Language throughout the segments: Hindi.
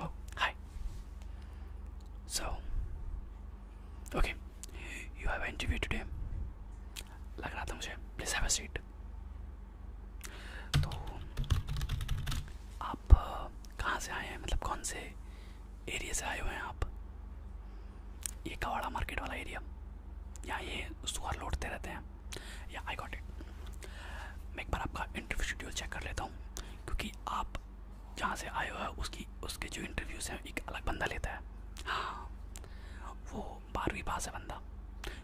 Oh, hi. So, okay, you have an interview today. लग रहा था मुझे प्लीज हैव अ कहाँ से आए हैं मतलब कौन से एरिया से आए हुए हैं आप ये कवाड़ा मार्केट वाला एरिया यहाँ ये सुअर लौटते रहते हैं या आई गॉट इट मैं एक बार आपका इंटरव्यू शेड्यूल चेक कर लेता हूँ क्योंकि आप जहाँ से आए हुए हैं उसकी उसके जो इंटरव्यूज़ हैं एक अलग बंदा लेता है हाँ वो बारहवीं पास है बंदा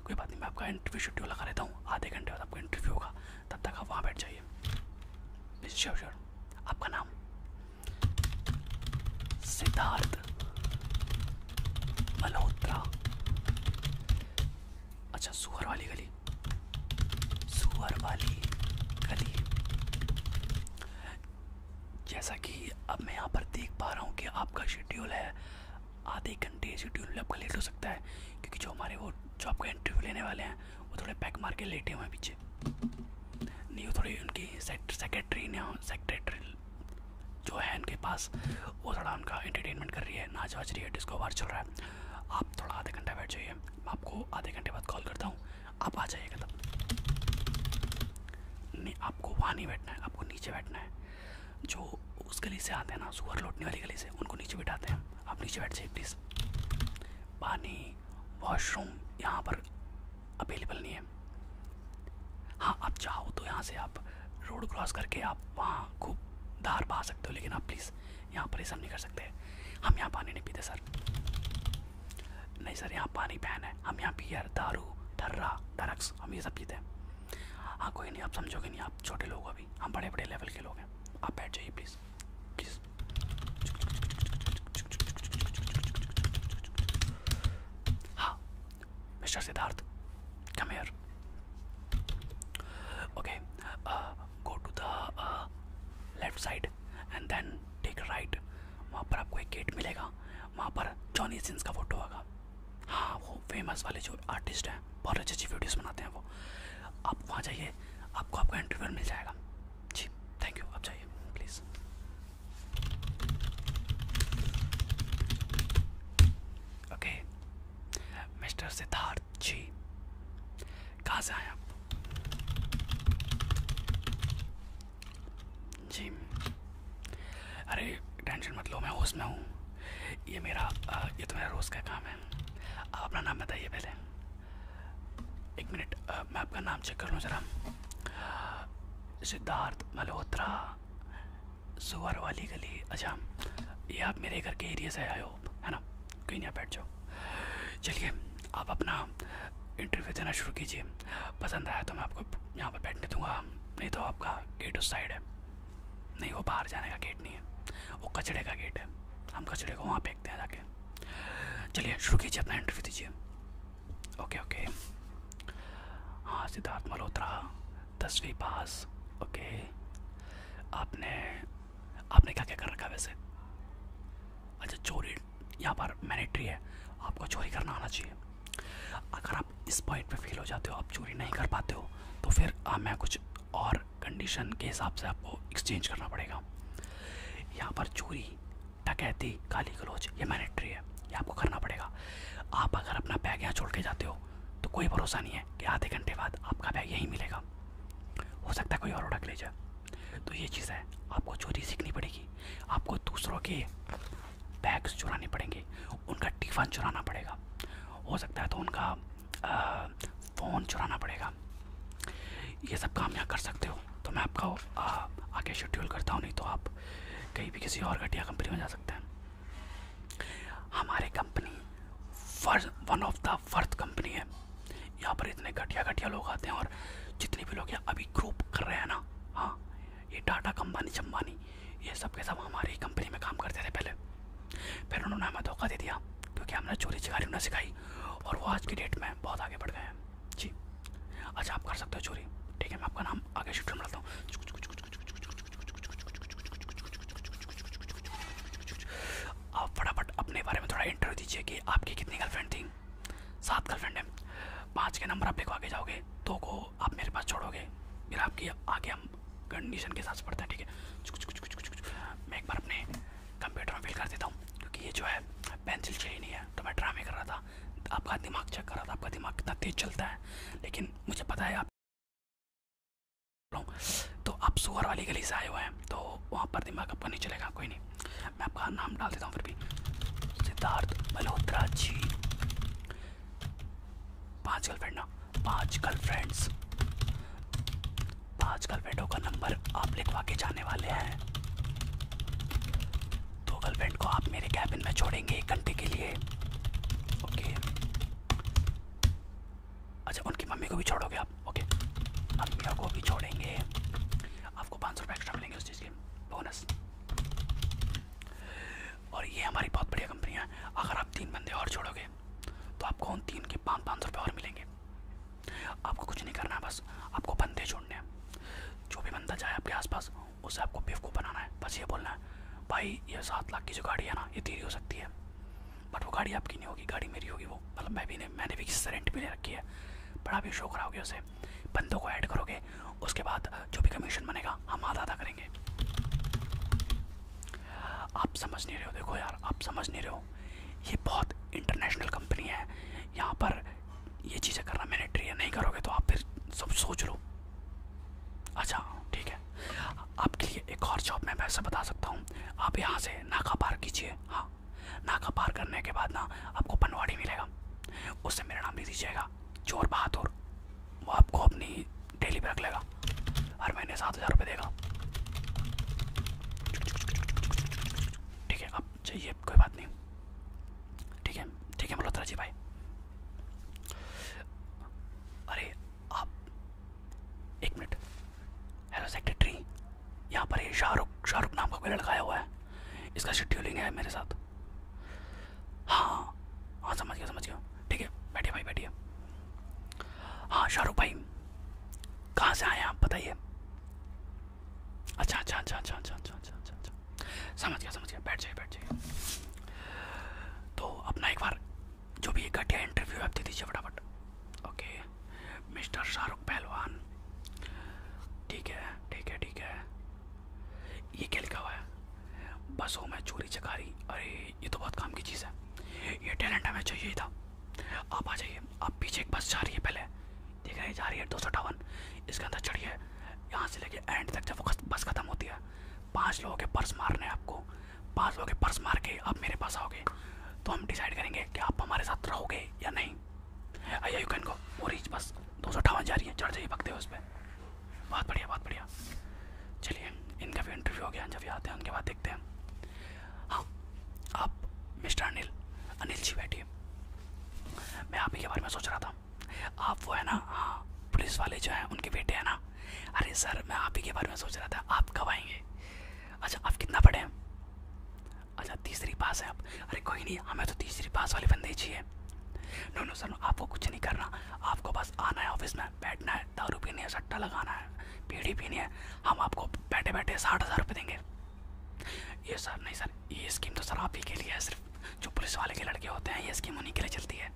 कोई बात नहीं मैं आपका इंटरव्यू शेड्यूल लगा लेता हूँ आधे घंटे बाद आपका इंटरव्यू होगा तब तक आप वहाँ बैठ जाइए श्योर श्योर आपका नाम सिद्धार्थ मल्होत्रा अच्छा सुअर वाली गली सुअर वाली गली जैसा कि अब मैं यहाँ पर देख पा रहा हूँ कि आपका शेड्यूल है आधे घंटे शेड्यूल आपका लेट हो सकता है क्योंकि जो हमारे वो जो आपका इंटरव्यू लेने वाले हैं वो थोड़े पैक मार के लेटे हुए हैं पीछे नहीं वो थोड़ी उनकी सेक्रेटरी ने सेक्रेटरी जो है उनके पास वो थोड़ा उनका एंटरटेनमेंट कर रही है नाच वाच रही है डिस्को बार चल रहा है आप थोड़ा आधे घंटा बैठ जाइए मैं आपको आधे घंटे बाद कॉल करता हूँ आप आ जाइएगा तब नहीं आपको वहाँ नहीं बैठना है आपको नीचे बैठना है जो उस गली से आते हैं ना सुअर लौटने वाली गली से उनको नीचे बैठाते हैं आप नीचे बैठ जाइए प्लीज़ पानी वॉशरूम यहाँ पर अवेलेबल नहीं है हाँ आप चाहो तो यहाँ से आप रोड क्रॉस करके आप वहाँ खूब धार पा सकते हो लेकिन आप प्लीज़ यहाँ पर ये सब नहीं कर सकते हम यहाँ पानी नहीं पीते सर नहीं सर यहाँ पानी पहन है हम यहाँ बियर दारू ठर्रा डरक्स हम ये सब पीते हैं हाँ कोई नहीं आप समझोगे नहीं आप छोटे लोग अभी हम बड़े बड़े लेवल के लोग हैं आप बैठ जाइए प्लीज़ please, please. हाँ, Mr. Siddharth, come here. Okay, uh, go to the uh, left side and then take right. वहाँ पर आपको एक गेट मिलेगा वहाँ पर जॉनी सिंस का फोटो होगा हाँ वो फेमस वाले जो आर्टिस्ट हैं बहुत अच्छी अच्छी वीडियोस बनाते हैं वो आप वहाँ जाइए आपको आपका इंटरव्यू मिल जाएगा जी थैंक यू आप जाइए please okay mister Siddharth ji कहाँ से आए आप जी अरे टेंशन मत लो मैं होश में हूँ ये मेरा ये तो मेरा रोज़ का काम है है आप अपना नाम बताइए पहले एक मिनट मैं आपका नाम चेक कर लूँ ज़रा सिद्धार्थ मल्होत्रा सुवर वाली गली अच्छा ये आप मेरे घर के एरिया से आए हो है ना कहीं नहीं बैठ जाओ चलिए आप अपना इंटरव्यू देना शुरू कीजिए पसंद आया तो मैं आपको यहाँ पर बैठने दूंगा नहीं तो आपका गेट उस साइड है नहीं वो बाहर जाने का गेट नहीं है वो कचड़े का गेट है हम कचड़े को वहाँ फेंकते हैं जाके चलिए शुरू कीजिए अपना इंटरव्यू दीजिए ओके ओके हाँ सिद्धार्थ मल्होत्रा दसवीं पास ओके आपने आपने क्या क्या कर रखा वैसे अच्छा चोरी यहाँ पर मैनेट्री है आपको चोरी करना आना चाहिए अगर आप इस पॉइंट पे फील हो जाते हो आप चोरी नहीं कर पाते हो तो फिर आ, हाँ, मैं कुछ और कंडीशन के हिसाब से आपको एक्सचेंज करना पड़ेगा यहाँ पर चोरी डकैती काली गलोच ये मैनेट्री है ये आपको करना पड़ेगा आप अगर अपना बैग यहाँ छोड़ के जाते हो तो कोई भरोसा नहीं है कि आधे घंटे बाद आपका बैग यहीं मिलेगा हो सकता है कोई और उड़क ले जाए तो ये चीज़ है आपको चोरी सीखनी पड़ेगी आपको दूसरों के बैग्स चुराने पड़ेंगे उनका टिफ़न चुराना पड़ेगा हो सकता है तो उनका फ़ोन चुराना पड़ेगा ये सब काम यहाँ कर सकते हो तो मैं आपका आगे शेड्यूल करता हूँ नहीं तो आप कहीं भी किसी और घटिया कंपनी में जा सकते हैं हमारे कंपनी फर्ज one of the worth company है यहाँ पर इतने घटिया घटिया लोग आते हैं और जितने भी लोग यहाँ अभी ग्रुप कर रहे हैं ना हाँ ये टाटा कंबानी चंबानी ये सब के सब हमारी कंपनी में काम करते थे पहले फिर उन्होंने हमें धोखा दे दिया क्योंकि हमने चोरी चिकारी उन्हें सिखाई और वो आज की डेट में बहुत आगे बढ़ गए हैं जी अच्छा आप कर सकते हो चोरी ठीक है मैं आपका नाम आगे शिफ्ट में डालता हूँ आप फटाफट अपने बारे में थोड़ा इंटरव्यू दीजिए कि आपकी कितनी गर्लफ्रेंड थी सात गर्लफ्रेंड है पाँच के नंबर आप लेको आगे जाओगे दो को आप मेरे पास छोड़ोगे फिर आपकी आगे हम कंडीशन के साथ पढ़ता है ठीक है मैं एक बार अपने कंप्यूटर में फिल कर देता हूँ क्योंकि ये जो है पेंसिल चाहिए नहीं है तो मैं ड्रामे कर रहा था आपका दिमाग चेक कर रहा था आपका दिमाग कितना तेज़ चलता है लेकिन मुझे पता है आप तो आप सुअर वाली गली से आए हुए हैं तो वहाँ पर दिमाग आपका नहीं चलेगा कोई नहीं मैं आपका नाम डाल देता हूँ फिर भी सिद्धार्थ मल्होत्रा जी पाँच गर्लफ्रेंड ना पांच गर्लफ्रेंड्स पांच गर्लफ्रेंडों का नंबर आप लिखवा के जाने वाले हैं दो गर्लफ्रेंड को आप मेरे कैबिन में छोड़ेंगे एक घंटे के लिए ओके अच्छा उनकी मम्मी को भी छोड़ोगे आप ओके आप को भी छोड़ेंगे आपको पाँच सौ रुपये एक्स्ट्रा मिलेंगे उस चीज़ के बोनस और ये हमारी बहुत बढ़िया कंपनी है अगर आप तीन बंदे और छोड़ोगे तो आपको उन तीन के पाँच पाँच सौ रुपये और मिलेंगे आपको कुछ नहीं करना है बस आपको बंदे छोड़ने हैं जो भी बंदा जाए आपके आसपास उसे आपको बेवकूफ़ बनाना है बस ये बोलना है भाई ये सात लाख की जो गाड़ी है ना ये तेरी हो सकती है बट वो गाड़ी आपकी नहीं होगी गाड़ी मेरी होगी वो मतलब मैं भी नहीं मैंने भी किसी रेंट भी ले रखी है बड़ा भी शो कराओगे उसे बंदों को ऐड करोगे उसके बाद जो भी कमीशन बनेगा हम आधा आधा करेंगे आप समझ नहीं रहे हो देखो यार आप समझ नहीं रहे हो ये बहुत इंटरनेशनल कंपनी है यहाँ पर ये चीज़ें करना मैंने है नहीं करोगे तो आप फिर सब सोच लो अच्छा ठीक है आपके लिए एक और जॉब मैं वैसे बता सकता हूँ आप यहाँ से नाका पार कीजिए हाँ नाका पार करने के बाद ना आपको पनवाड़ी मिलेगा उससे मेरा नाम ले दीजिएगा चोर बहादुर वो आपको अपनी डेली पर रख लेगा देगा हर महीने सात हज़ार रुपये देगा ठीक है अब चाहिए कोई बात नहीं ठीक है ठीक है मल्होत्रा जी भाई अरे आप एक मिनट हेलो सेक्रेटरी यहाँ पर ये शाहरुख शाहरुख नाम का कोई लड़का आया हुआ है इसका शेड्यूलिंग है मेरे साथ हाँ हाँ समझ गया समझ गया ठीक है बैठिए भाई बैठिए हाँ शाहरुख भाई कहाँ से आए आप बताइए अच्छा अच्छा अच्छा अच्छा अच्छा अच्छा अच्छा अच्छा समझ गया समझ गया बैठ जाइए बैठ जाइए तो अपना एक बार जो भी एक घटिया इंटरव्यू आप दे दीजिए फटाफट ओके मिस्टर शाहरुख पहलवान ठीक है ठीक है ठीक है ये क्या लिखा हुआ है बसों में चोरी चकारी अरे ये तो बहुत काम की चीज़ है ये टैलेंट हमें चाहिए था आप आ जाइए आप पीछे एक बस जा रही है पहले ठीक है जा रही है दो सौ अठावन इसके अंदर चढ़िए यहाँ से लेके एंड तक जब बस ख़त्म होती है पाँच लोगों के पर्स मारने हैं आपको पाँच लोगों के पर्स मार के आप मेरे पास आओगे तो हम डिसाइड करेंगे कि आप हमारे साथ रहोगे या नहीं आइए यू कैन गो वो रीच बस दो सौ अठावन जा रही है चढ़ जाइए भगते हो उस पर बहुत बढ़िया बहुत बढ़िया चलिए इनका भी इंटरव्यू हो गया जब ये आते हैं उनके बाद देखते हैं हाँ आप मिस्टर अनिल अनिल जी बैठिए मैं आप ही के बारे में सोच रहा था आप वो है ना हाँ पुलिस वाले जो हैं उनके बेटे हैं ना अरे सर मैं आप ही के बारे में सोच रहा था आप कब आएंगे अच्छा आप कितना पढ़े हैं अच्छा तीसरी पास है आप अरे कोई नहीं हमें तो तीसरी पास वाले बंदे ही चाहिए नो नो सर आपको कुछ नहीं करना आपको बस आना है ऑफिस में है बैठना है दारू पीनी है सट्टा लगाना है पीढ़ी पीनी है हम आपको बैठे बैठे साठ हज़ार रुपये देंगे ये सर नहीं सर ये स्कीम तो सर आप ही के लिए है सिर्फ जो पुलिस वाले के लड़के होते हैं ये स्कीम उन्हीं के लिए चलती है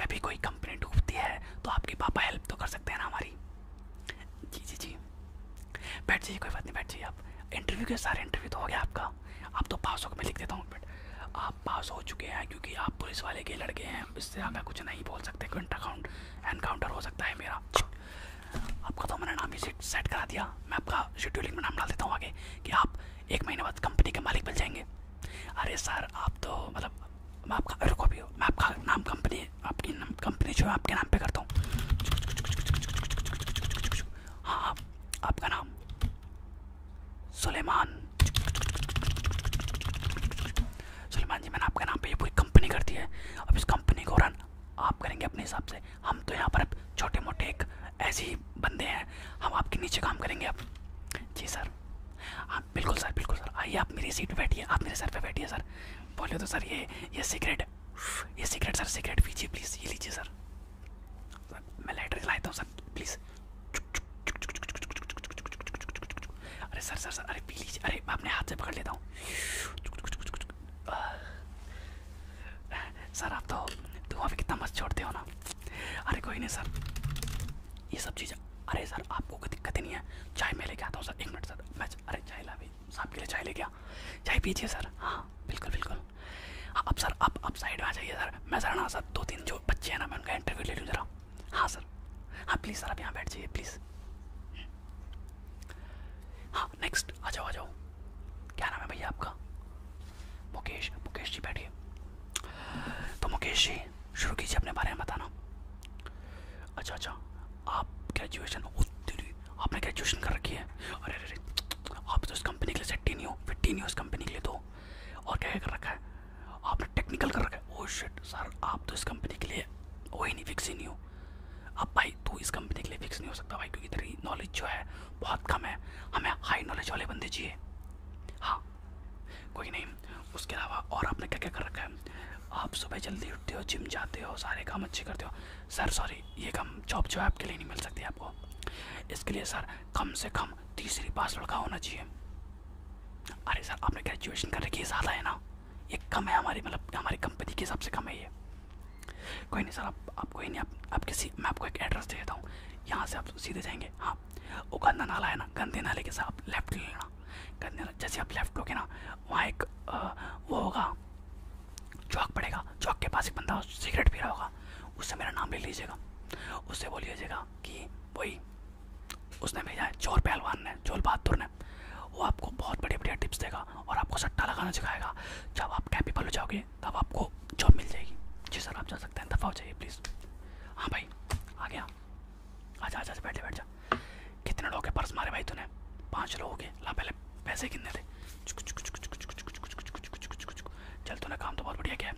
कभी कोई कंपनी डूबती है तो आपके पापा हेल्प तो कर सकते हैं ना हमारी जी जी जी बैठ जाइए कोई बात नहीं बैठ जाइए आप इंटरव्यू के सारे इंटरव्यू तो हो गया आपका आप तो पास होकर मैं लिख देता हूँ आप पास हो चुके हैं क्योंकि आप पुलिस वाले के लड़के हैं इससे आप कुछ नहीं बोल सकते करंट अकाउंट एनकाउंटर हो सकता है मेरा आपका तो मैंने नाम ही सेट करा दिया मैं आपका शेड्यूलिंग में नाम डाल देता हूँ आगे कि आप एक महीने बाद कंपनी के मालिक बन जाएंगे अरे सर आप तो मतलब मैं आपका रुको भी मैं आपका नाम कंपनी आपकी कंपनी जो है आपके नाम पर करता हूँ हाँ आपका नाम सुलेमान सलमान जी मैंने आपके नाम पर ये पूरी कंपनी कर दी है अब इस कंपनी को रन आप करेंगे अपने हिसाब से हम तो यहाँ पर छोटे मोटे एक ऐसे ही बंदे हैं हम आपके नीचे काम करेंगे अब जी सर हाँ बिल्कुल सर बिल्कुल सर आइए आप मेरी सीट पर बैठिए आप मेरे सर पर बैठिए सर बोलिए तो सर ये ये सिगरेट ये सिगरेट सर सिगरेट पीजिए प्लीज़ ये लीजिए सर मैं लेटर जलाता हूँ सर प्लीज़ अरे सर सर सर अरे पी लीजिए अरे मैं अपने हाथ से पकड़ लेता हूँ सर आप तो धुआं भी कितना मस्त छोड़ते हो ना अरे कोई नहीं सर ये सब चीज़ अरे सर आपको कोई दिक्कत ही नहीं है चाय मैं लेके आता हूँ सर एक मिनट सर मैं अरे चाय ला भाई साहब के लिए चाय ले गया चाय पीजिए सर हाँ बिल्कुल बिल्कुल हाँ, अब सर आप अब साइड में आ जाइए सर मैं सर ना सर दो तीन जो बच्चे हैं ना मैं उनका इंटरव्यू ले लूँ जरा हाँ सर हाँ प्लीज़ सर आप यहाँ बैठ जाइए प्लीज़ हाँ नेक्स्ट आ जाओ आ जाओ क्या नाम है भैया आपका मुकेश मुकेश जी बैठिए तो मुकेश जी शुरू कीजिए अपने बारे में बताना अच्छा अच्छा आप ग्रेजुएशन आपने ग्रेजुएशन कर रखी है अरे अरे आप तो इस कंपनी के लिए सेट्टी नहीं हो फिट्टी नहीं हो इस कंपनी के लिए तो और क्या कर रखा है आपने टेक्निकल कर रखा है ओ शिट सर आप तो इस कंपनी के लिए कोई नहीं फिक्स ही नहीं हो अब भाई तू इस कंपनी के लिए फिक्स नहीं हो सकता भाई क्योंकि तेरी नॉलेज जो है बहुत कम है हमें हाई नॉलेज वाले बंदे चाहिए हाँ कोई नहीं उसके अलावा और आपने क्या क्या कर रखा है आप सुबह जल्दी उठते हो जिम जाते हो सारे काम अच्छे करते हो सर सॉरी ये काम जॉब जो है आपके लिए नहीं मिल सकती आपको इसके लिए सर कम से कम तीसरी पास लड़का होना चाहिए अरे सर आपने ग्रेजुएशन कर रखी है ज़्यादा है ना ये कम है हमारी मतलब हमारी कंपनी के हिसाब से कम है ये कोई नहीं सर आप आपको ही नहीं आप, आप किसी मैं आपको एक एड्रेस दे देता हूँ यहाँ से आप सीधे जाएंगे हाँ वो गंदा नाला है ना गंदे नाले के साथ लेफ्ट ले लेना गंदे नाला जैसे आप लेफ्ट लोगे ना वहाँ एक आ, वो होगा चौक पड़ेगा चौक के पास एक बंदा सिगरेट पी रहा होगा उससे मेरा नाम ले लीजिएगा उससे बोलिएगा कि वही उसने भेजा है जोर पहलवान ने जोर बहादुर ने वो आपको बहुत बढ़िया बढ़िया टिप्स देगा और आपको सट्टा लगाना सिखाएगा जब आप कैपेबल हो जाओगे तब आपको जॉब मिल जाएगी जी सर आप जा सकते हैं दफ़ा हो जाइए प्लीज़ हाँ भाई आ गया आ जा बैठ जा बैठ जा कितने लोगों के पर्स मारे भाई तूने पाँच लोगों के ला पहले पैसे कितने थे चल तूने काम तो बहुत बढ़िया किया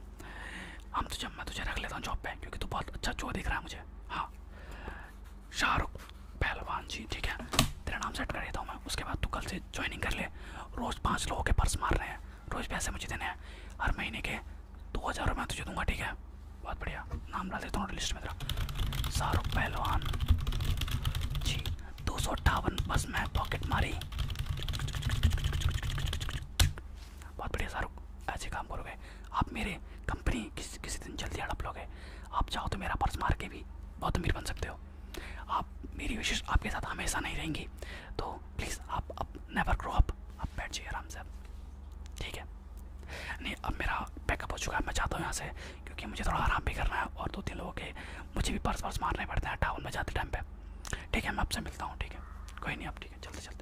हम तुझे मैं तुझे रख लेता हूँ जॉब पर क्योंकि तू बहुत अच्छा जो दिख रहा है मुझे हाँ शाहरुख पहलवान जी ठीक है तेरा नाम सेट कर देता हूँ मैं उसके बाद तू कल से ज्वाइनिंग कर ले रोज़ पाँच लोगों के पर्स मार रहे हैं रोज़ पैसे मुझे देने हैं हर महीने के दो हज़ार रुपये तुझे दूंगा ठीक है बहुत बढ़िया नाम डाल देता हूँ लिस्ट में तेरा शाहरुख पहलवान जी दो सौ अट्ठावन बस मैं पॉकेट मारी बहुत बढ़िया शाहरुख ऐसे काम करोगे आप मेरे कंपनी किस किसी दिन जल्दी हड़प लोगे आप चाहो तो मेरा पर्स मार के भी बहुत अमीर बन सकते हो आप मेरी विशेष आपके साथ हमेशा नहीं रहेंगी तो प्लीज़ आप अब नेवर ग्रो अप आप बैठ जाइए आराम से ठीक है नहीं अब मेरा पैकअप हो चुका है मैं चाहता हूँ यहाँ से क्योंकि मुझे थोड़ा आराम भी करना है और दो तीन लोगों के मुझे भी पर्स वर्स मारने पड़ते हैं टाउन में जाते टाइम पर ठीक है मैं आपसे मिलता हूँ ठीक है कोई नहीं आप ठीक है चलते चलते